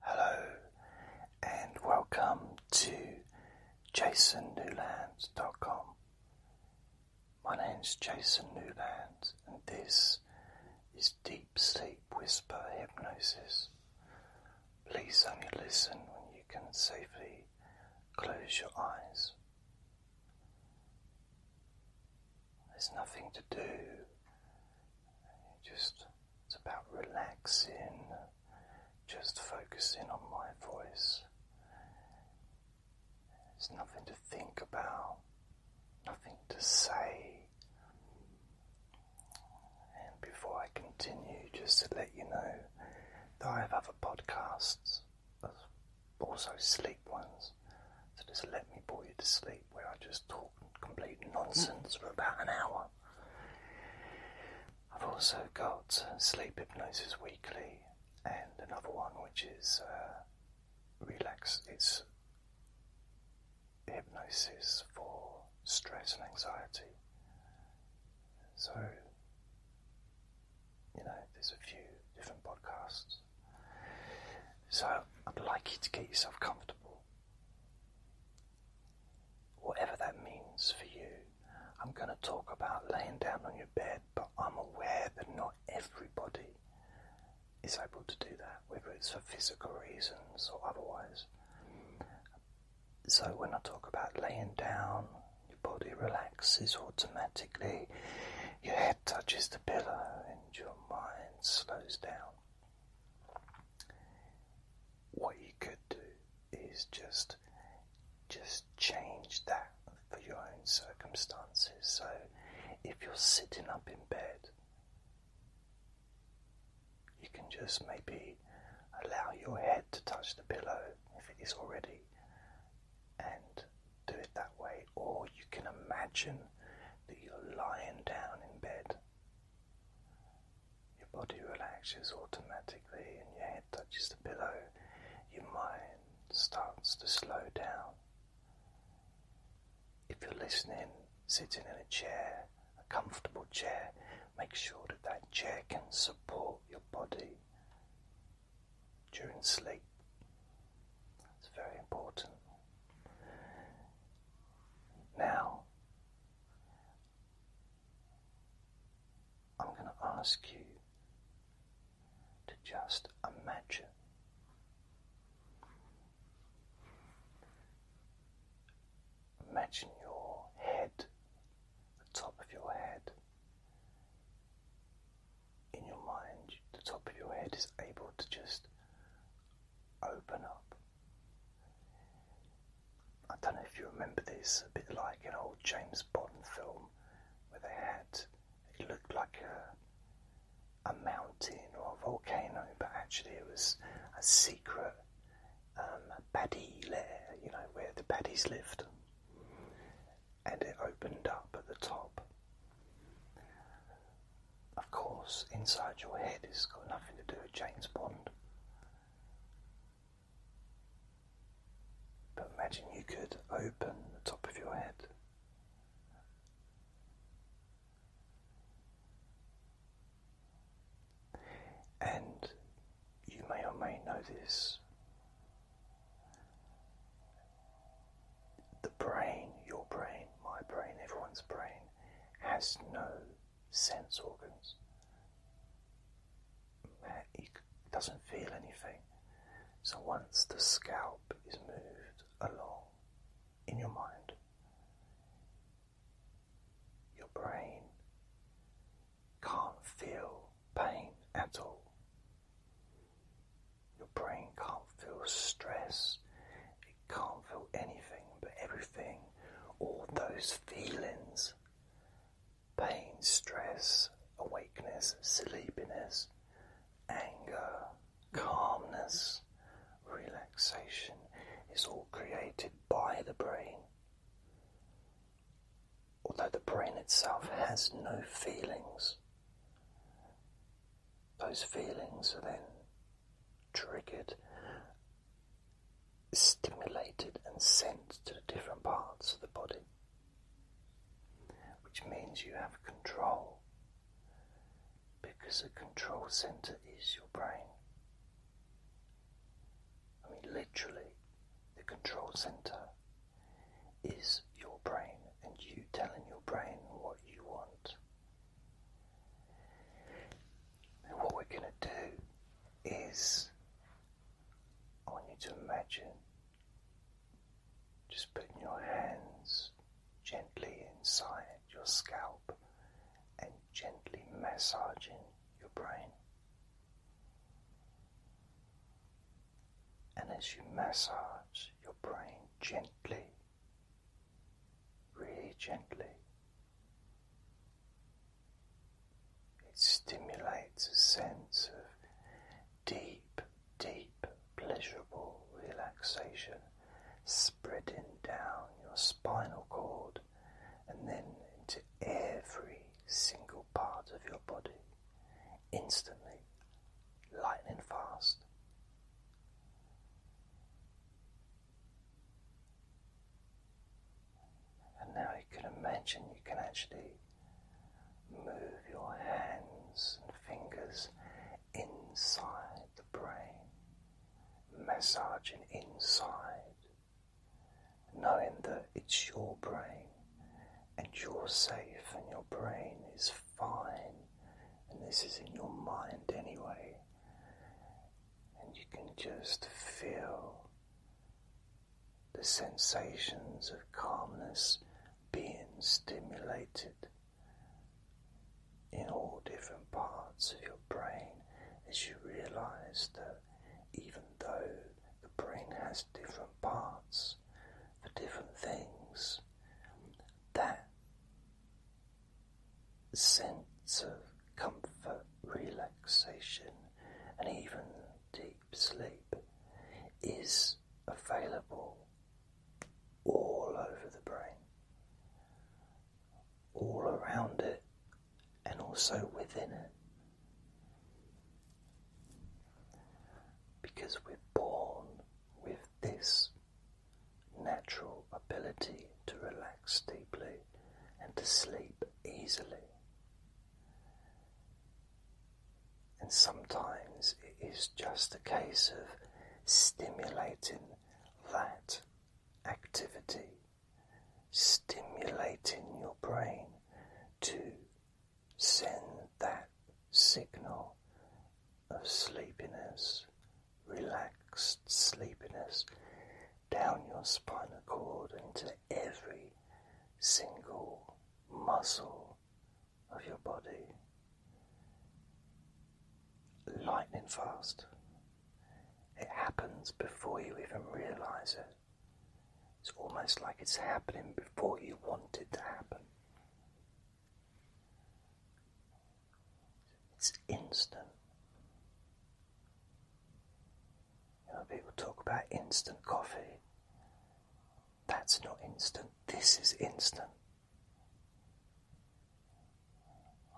Hello and welcome to jasonnewlands.com. My name is Jason Newlands and this is Deep Sleep Whisper Hypnosis. Please only listen when you can safely close your eyes. There's nothing to do just it's about relaxing, just focusing on my voice. There's nothing to think about, nothing to say. And before I continue, just to let you know that I have other podcasts, also sleep ones. So just let me bore you to sleep where I just talk complete nonsense for about an hour. I've also got Sleep Hypnosis Weekly and another one which is uh, Relax. It's hypnosis for stress and anxiety. So, you know, there's a few different podcasts. So, I'd like you to get yourself comfortable. Whatever that means for you, I'm going to talk about laying down on your bed, but I'm aware that not everybody is able to do that, whether it's for physical reasons or otherwise. So, when I talk about laying down, your body relaxes automatically, your head touches the pillow, and your mind slows down what you could do is just just change that for your own circumstances. So if you're sitting up in bed, you can just maybe allow your head to touch the pillow if it is already and do it that way. Or you can imagine that you're lying down in bed your body relaxes automatically and your head touches the pillow. Your mind starts to slow down. If you're listening, sitting in a chair, a comfortable chair, make sure that that chair can support your body during sleep. It's very important. Now, I'm going to ask you to just imagine imagine your head, the top of your head in your mind, the top of your head is able to just open up I don't know if you remember this, a bit like an old James Bond film where they had it looked like a a mountain or a volcano, but actually it was a secret um, paddy lair, you know, where the baddies lived, and it opened up at the top. Of course, inside your head it's got nothing to do with James Bond. But imagine you could open the top of your head. And you may or may know this. The brain, your brain, my brain, everyone's brain has no sense organs. It doesn't feel anything. So once the scalp is moved along in your mind, your brain can't feel pain at all. Your brain can't feel stress. It can't feel anything but everything, all those feelings pain, stress, awakeness, sleepiness, anger, calmness, relaxation. is all created by the brain. Although the brain itself has no feelings, those feelings are then triggered, stimulated, and sent to the different parts of the body, which means you have control because the control center is your brain. I mean, literally, the control center is your brain, and you telling your brain what you want what we're going to do is, I want you to imagine just putting your hands gently inside your scalp and gently massaging your brain. And as you massage your brain gently, really gently. It stimulates a sense of deep, deep, pleasurable relaxation spreading down your spinal cord and then into every single part of your body instantly, lightning fast. And now you can imagine you can actually move your hands and fingers inside the brain, massaging inside, knowing that it's your brain and you're safe and your brain is fine, and this is in your mind anyway, and you can just feel the sensations of calmness being stimulated in all different parts of your brain as you realize that even though the brain has different parts for different things, that sense of comfort, relaxation, and even deep sleep is available all over the brain, all around it, and also within it. Because we're born with this natural ability to relax deeply and to sleep easily. And sometimes it is just a case of stimulating that activity, stimulating your brain to send that signal of sleepiness, relaxed sleepiness down your spinal cord into every single muscle of your body. Lightning fast. It happens before you even realize it. It's almost like it's happening before you want it to happen. It's instant. people talk about instant coffee. That's not instant. This is instant.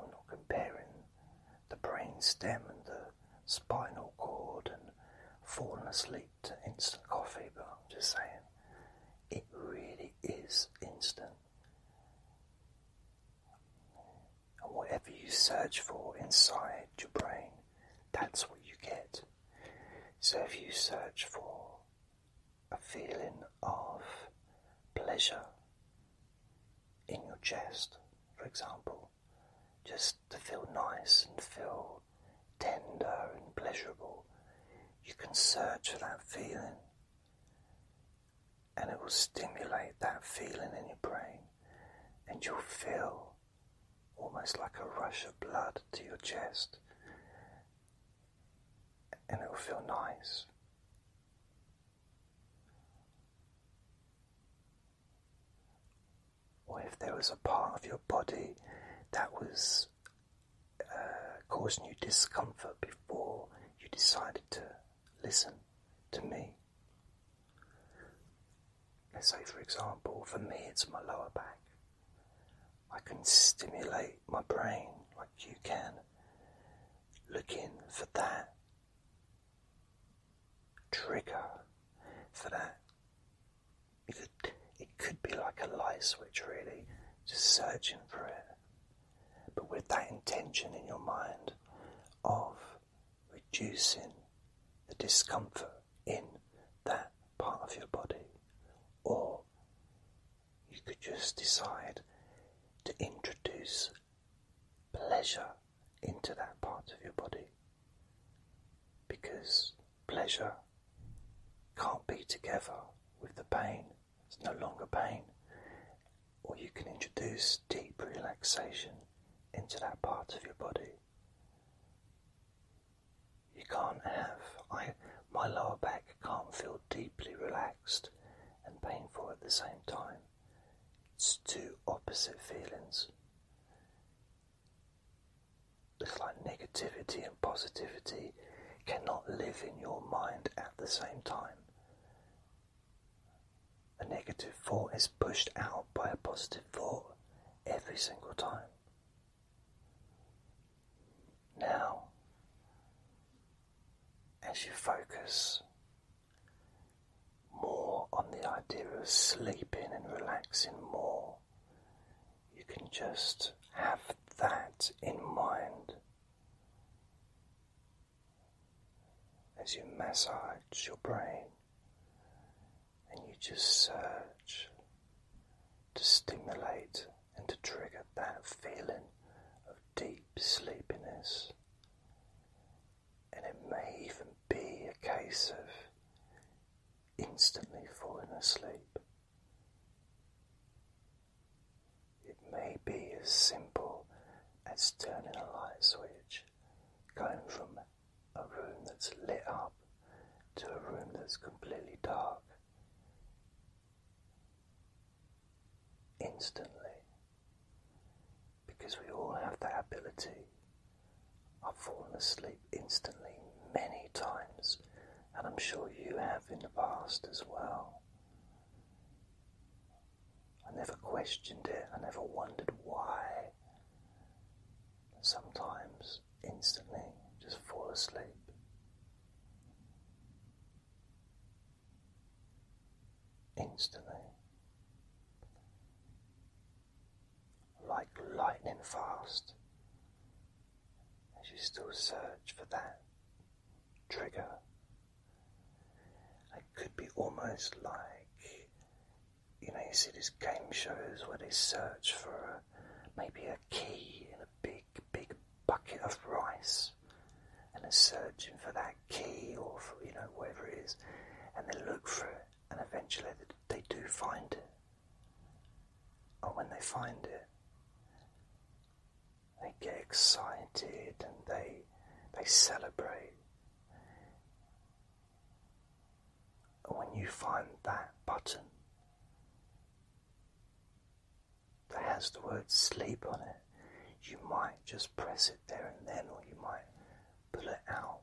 I'm not comparing the brain stem and the spinal cord and falling asleep to instant coffee, but I'm just saying it really is instant. And whatever you search for inside your brain, that's what you get. So if you search for a feeling of pleasure in your chest, for example, just to feel nice and feel tender and pleasurable, you can search for that feeling and it will stimulate that feeling in your brain, and you'll feel almost like a rush of blood to your chest, and it will feel nice. Or if there was a part of your body that was uh, causing you discomfort before you decided to listen to me. Let's say, for example, for me it's my lower back. I can stimulate my brain like you can, looking for that trigger, for that. It could, it could be like a light switch, really just searching for it, but with that intention in your mind of reducing the discomfort in that part of your body, or you could just decide to introduce pleasure into that part of your body because pleasure can't be together with the pain, it's no longer pain. Or you can introduce deep relaxation into that part of your body. You can't have, I, my lower back can't feel deeply relaxed and painful at the same time. It's two opposite feelings. It's like negativity and positivity cannot live in your mind at the same time. A negative thought is pushed out by a positive thought every single time. Now, as you focus more on the idea of sleeping and relaxing more you can just have that in mind as you massage your brain and you just search to stimulate and to trigger that feeling of deep sleepiness. And it may even be a case of instantly falling asleep. It may be as simple as turning a light switch, going from a room that's lit up to a room that's completely dark. Instantly, because we all have that ability. of falling asleep instantly many times, and I'm sure you have in the past as well. I never questioned it, I never wondered why. Sometimes, instantly, just fall asleep. Instantly. Like lightning fast as you still search for that trigger. It could be almost like you know, you see these game shows where they search for maybe a key in a big, big bucket of rice and they're searching for that key or for, you know, whatever it is and they look for it and eventually they do find it. And when they find it, they get excited and they they celebrate. And when you find that button that has the word sleep on it, you might just press it there and then, or you might pull it out.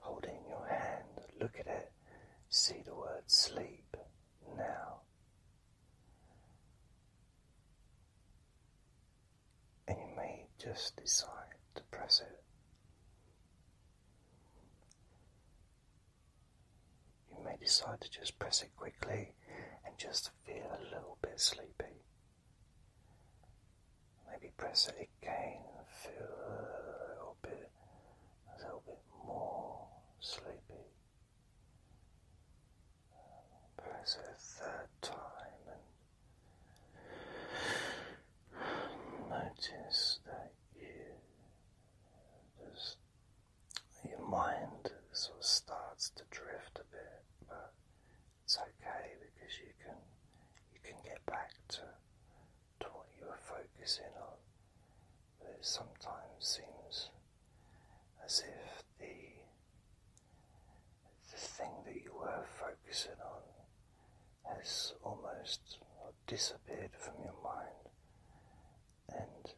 Hold it in your hand, look at it, see the word sleep now. And you may just decide to press it. You may decide to just press it quickly and just feel a little bit sleepy. Maybe press it again feel a little bit a little bit more sleepy. Press it a third time and notice that you just your mind sort of starts to drift a bit, but it's okay because you can you can get back to to what you were focusing on, but it sometimes seems as if the the thing that you were focusing on has almost disappeared from your mind, and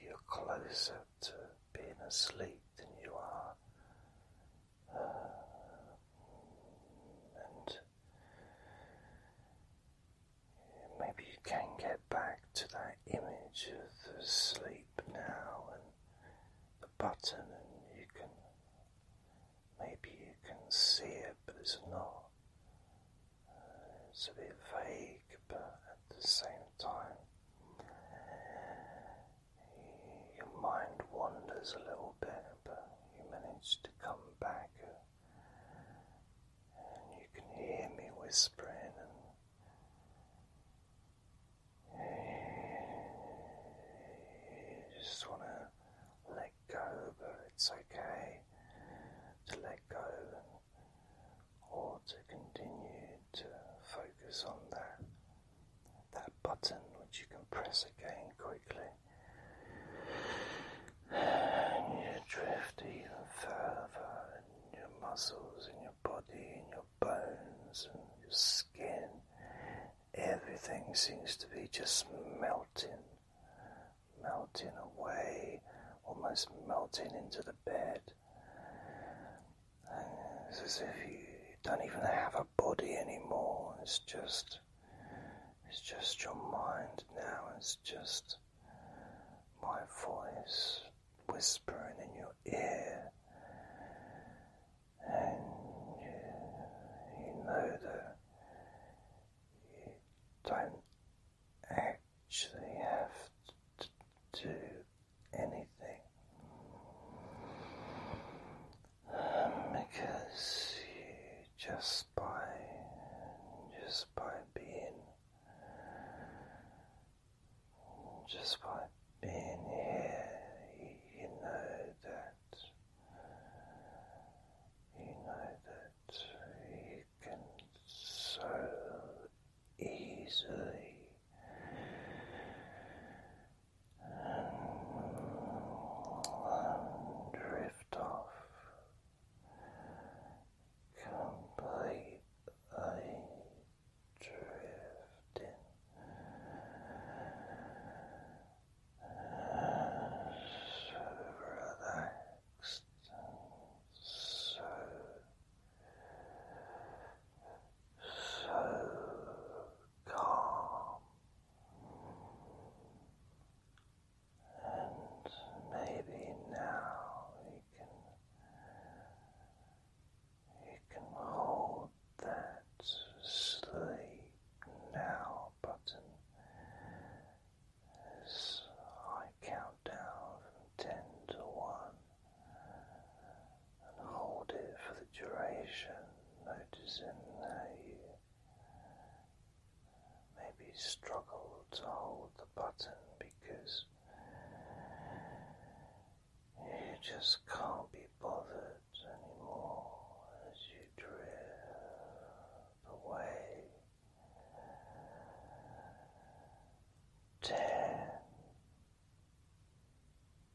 you're closer to being asleep than you are, uh, and Maybe you can get back to that image of the sleep now and the button, and you can maybe you can see it, but it's not. Uh, it's a bit vague, but at the same time, your mind wanders a little bit, but you manage to come back, uh, and you can hear me whispering, and you just want to let go, but it's okay to let go, or to continue to focus on that that button which you can press again quickly you drift even further, and your muscles, and your body, and your bones, and your skin. Everything seems to be just melting, melting away, almost melting into the bed. it's as if you don't even have a body anymore. It's just it's just your mind now. It's just my voice whispering in your ear. And you know that you don't actually have to do anything because you just by just by being just by being here, you know that you know that you can so easily and drift off completely drifting so relaxed so so calm and maybe now you can you can hold that sleep now button as I count down from ten to one and hold it for the duration, noticing that you maybe struggle to hold the button because you just can't be bothered anymore as you drift away. Ten